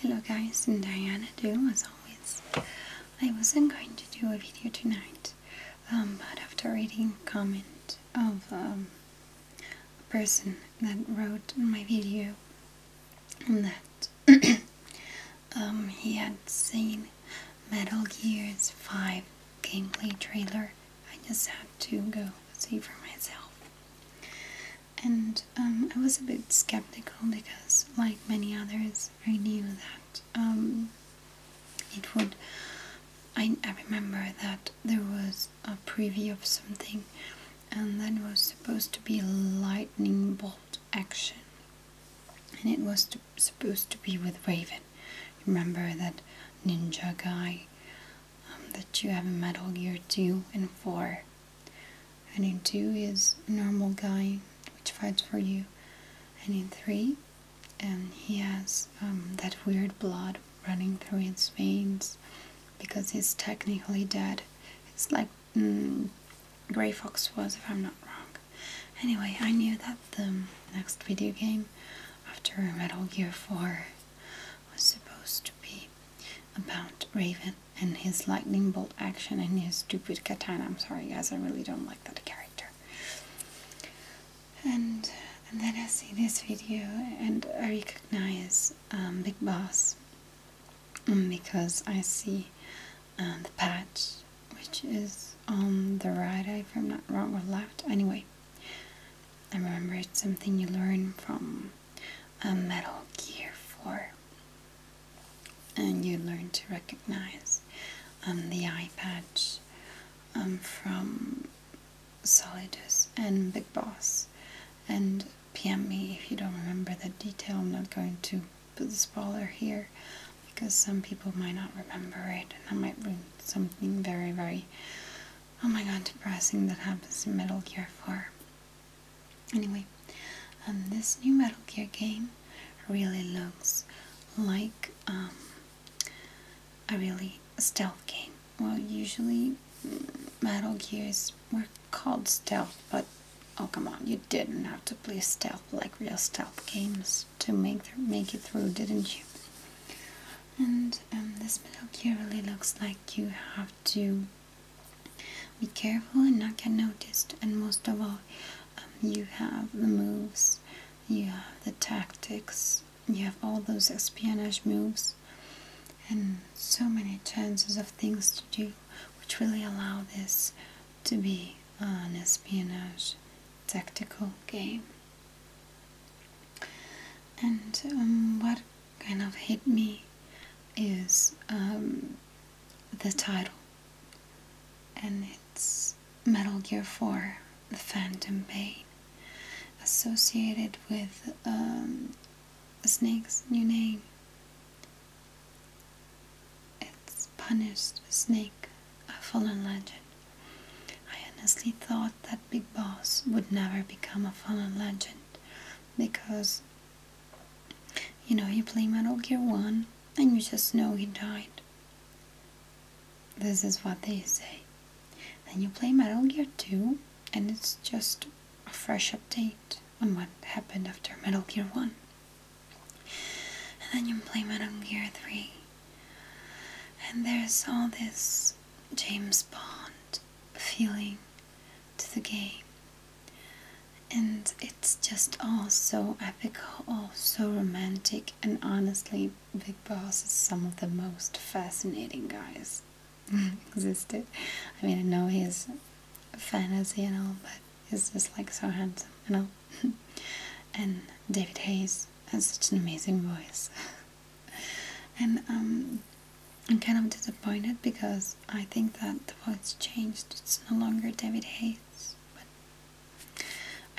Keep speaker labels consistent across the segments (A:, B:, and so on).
A: Hello guys, and Diana too, as always. I wasn't going to do a video tonight, um, but after reading comment of um, a person that wrote my video that um, he had seen Metal Gear's 5 gameplay trailer, I just had to go see for myself. And um, I was a bit skeptical because, like many others, I knew that um, it would. I, I remember that there was a preview of something, and that was supposed to be lightning bolt action, and it was supposed to be with Raven. Remember that ninja guy um, that you have in Metal Gear 2 and 4. And in 2 is a normal guy which fights for you. And in 3, and um, he has um, that weird blood running through his veins because he's technically dead. It's like mm, Grey Fox was, if I'm not wrong. Anyway, I knew that the next video game after Metal Gear 4 was supposed to be about Raven and his lightning bolt action and his stupid katana. I'm sorry, guys, I really don't like that character. And, then I see this video and I recognize um, Big Boss um, because I see um, the patch which is on the right, if I'm not wrong, or left. Anyway, I remember it's something you learn from a Metal Gear 4, and you learn to recognize um, the eye patch um, from Solidus and Big Boss and PM me if you don't remember that detail. I'm not going to put the spoiler here because some people might not remember it and that might ruin something very, very oh my god, depressing that happens in Metal Gear 4. Anyway, um, this new Metal Gear game really looks like um, a really stealth game. Well, usually mm, Metal Gears were called stealth, but oh come on, you didn't have to play stealth like real stealth games to make, make it through, didn't you? And um, this metal here really looks like you have to be careful and not get noticed. And most of all, um, you have the moves, you have the tactics, you have all those espionage moves, and so many chances of things to do, which really allow this to be an espionage tactical game. And um, what kind of hit me is um, the title, and it's Metal Gear 4 The Phantom Pain, associated with um, a Snake's new name. It's Punished Snake a fallen legend. I honestly thought that Big Boss would never become a fallen legend because you know you play Metal Gear 1 and you just know he died. This is what they say. Then you play Metal Gear 2 and it's just a fresh update on what happened after Metal Gear 1. And then you play Metal Gear 3 and there's all this James Bond feeling to the game. And it's just all so epic, all so romantic, and honestly, Big Boss is some of the most fascinating guys existed. I mean, I know he's a fantasy and all, but he's just like so handsome, you know. and David Hayes had such an amazing voice. and um, I'm kind of disappointed because I think that the voice changed. It's no longer David Hayes, but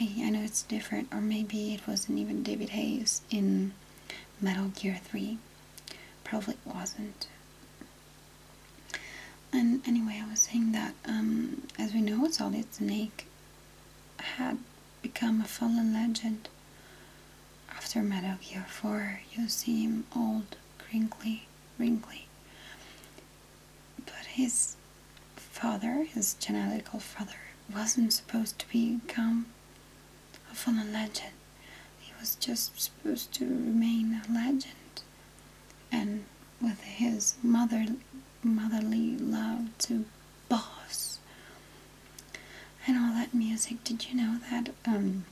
A: I, I know it's different. Or maybe it wasn't even David Hayes in Metal Gear 3. Probably wasn't. And anyway, I was saying that, um, as we know, it's all Solid Snake had become a fallen legend. After Metal Gear 4, you see him old, crinkly, wrinkly. But his father, his genetical father, wasn't supposed to become a fallen legend. He was just supposed to remain a legend and with his mother motherly love to boss and all that music. Did you know that um,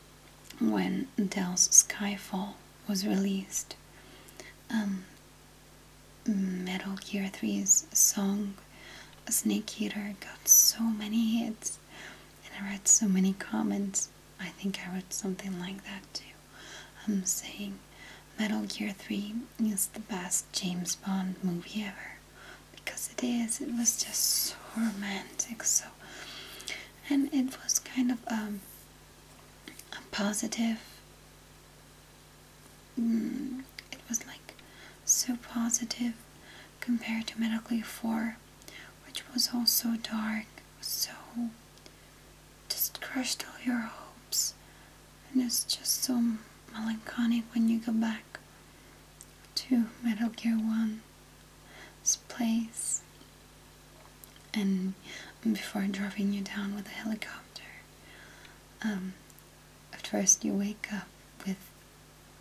A: when Del's Skyfall was released, um, Metal Gear 3's song Snake Eater got so many hits, and I read so many comments. I think I read something like that too. I'm saying Metal Gear 3 is the best James Bond movie ever. Because it is. It was just so romantic, so. And it was kind of um, a positive. Mm, it was like so positive compared to Metal Gear 4, which was all so dark, so just crushed all your hopes, and it's just so melancholic when you go back to Metal Gear 1's place and before dropping you down with a helicopter. Um, at first you wake up with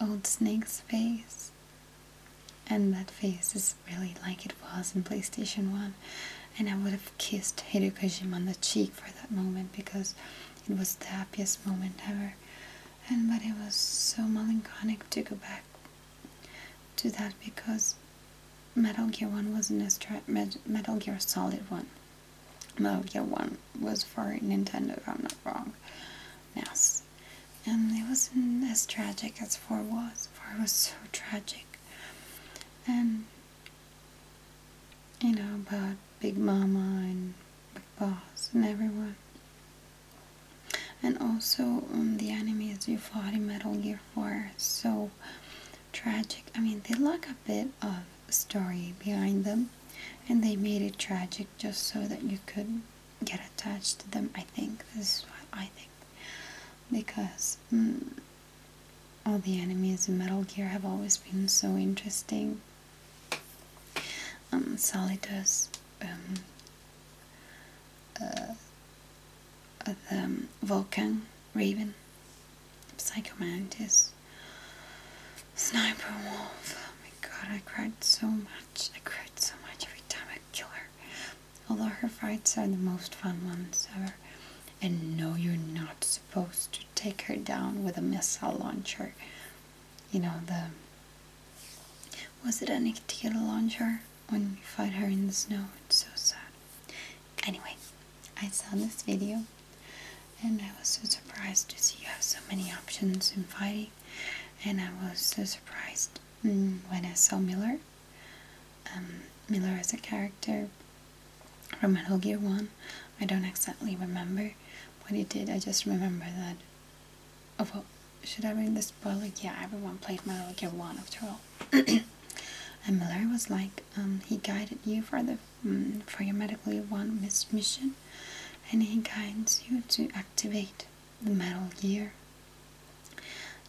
A: old Snake's face and that face is really like it was in PlayStation 1 and I would have kissed Hideo Kojima on the cheek for that moment because it was the happiest moment ever and but it was so melancholic to go back to that because Metal Gear 1 wasn't Metal Gear Solid 1 Metal Gear 1 was for Nintendo I'm not wrong Yes, and it wasn't as tragic as 4 was this part was so tragic. And you know about Big Mama and Big Boss and everyone. And also um, the enemies you fought in Metal Gear 4 so tragic. I mean they lack a bit of story behind them and they made it tragic just so that you could get attached to them. I think is what I think because hmm, all the enemies in Metal Gear have always been so interesting. Um, Solidus, um, uh, uh, Vulcan, Raven, Psychomantis, Sniper Wolf. Oh my god, I cried so much. I cried so much every time I kill her although her fights are the most fun ones ever. And no, you're not supposed to take her down with a missile launcher. You know, the. Was it a Nikita launcher when you fight her in the snow? It's so sad. Anyway, I saw this video and I was so surprised to see you have so many options in fighting. And I was so surprised when I saw Miller. Um, Miller is a character from Metal Gear 1. I don't exactly remember what he did, I just remember that. Oh, well, should I read the spoiler? Yeah, everyone played Metal Gear 1 after all. and Miller was like, um, he guided you for the mm, for your Metal Gear 1 mission, and he guides you to activate the Metal Gear.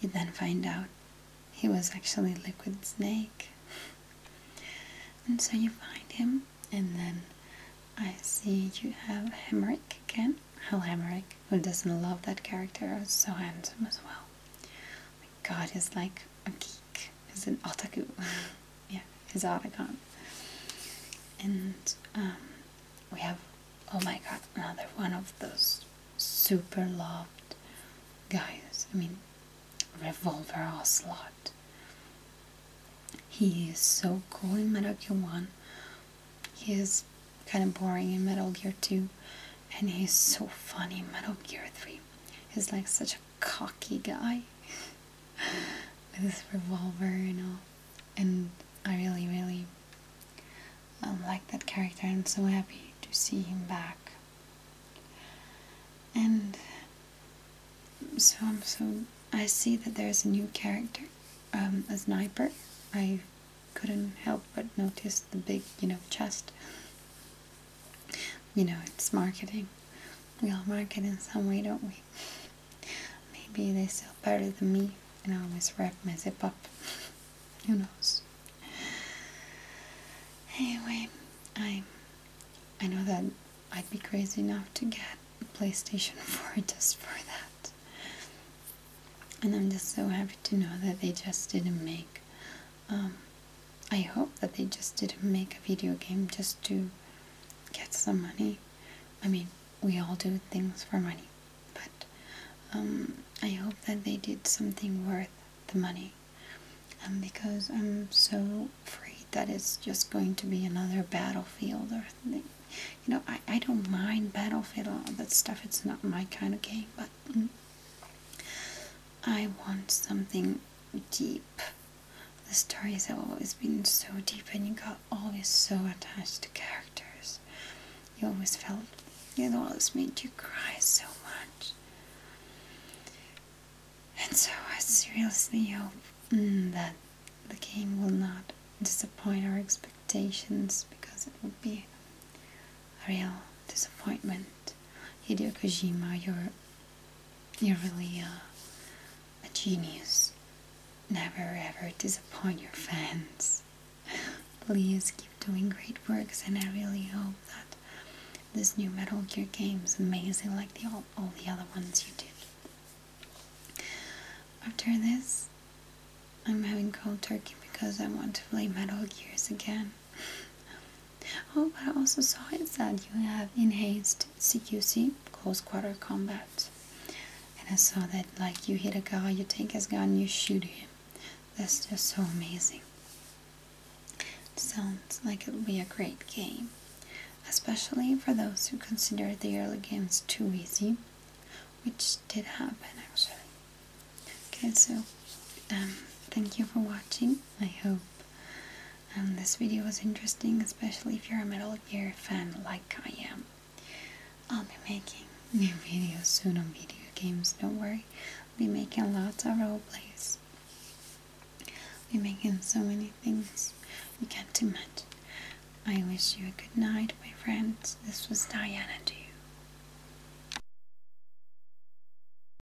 A: You then find out he was actually Liquid Snake. and so you find him, and then I see you have Hemric again. Hal Hemric, who doesn't love that character, so handsome as well. My god, he's like a geek. He's an otaku. yeah, he's Otacon. And um, we have oh my god, another one of those super loved guys. I mean, Revolver Ocelot. He is so cool in Metal Gear 1. He is kind of boring in Metal Gear 2. And he is so funny in Metal Gear 3. He's like such a cocky guy. with his revolver, you know. And I really, really um, like that character and so happy to see him back. And so I'm so I see that there's a new character, um, a sniper. I couldn't help but notice the big, you know, chest. You know, it's marketing. We all market in some way, don't we? Maybe they sell better than me, and I always wrap my zip up. Who knows? Anyway, I I know that I'd be crazy enough to get a PlayStation 4 just for that. And I'm just so happy to know that they just didn't make. Um, I hope that they just didn't make a video game just to get some money I mean, we all do things for money, but um, I hope that they did something worth the money. Um, because I'm so afraid that it's just going to be another battlefield or thing. You know, I, I don't mind battlefield all that stuff. It's not my kind of game, but mm, I want something deep the stories have always been so deep and you got always so attached to characters. You always felt, it always made you cry so much. And so I seriously hope mm, that the game will not disappoint our expectations because it would be a real disappointment. Hideo Kojima, you're, you're really uh, a genius. Never ever disappoint your fans. Please keep doing great works, and I really hope that this new Metal Gear game is amazing like the, all, all the other ones you did. After this, I'm having cold turkey because I want to play Metal Gears again. Oh, but I also saw it said you have enhanced CQC, close quarter combat. And I saw that like you hit a guy, you take his gun, you shoot him. That's just so amazing. sounds like it would be a great game. Especially for those who consider the early games too easy, which did happen actually. Okay, so um, thank you for watching. I hope and this video was interesting especially if you're a Metal Gear fan like I am. I'll be making new videos soon on video games, don't worry. I'll be making lots of roleplays. I'll be making so many things you can't imagine. I wish you a good night, my friends. This was Diana to you.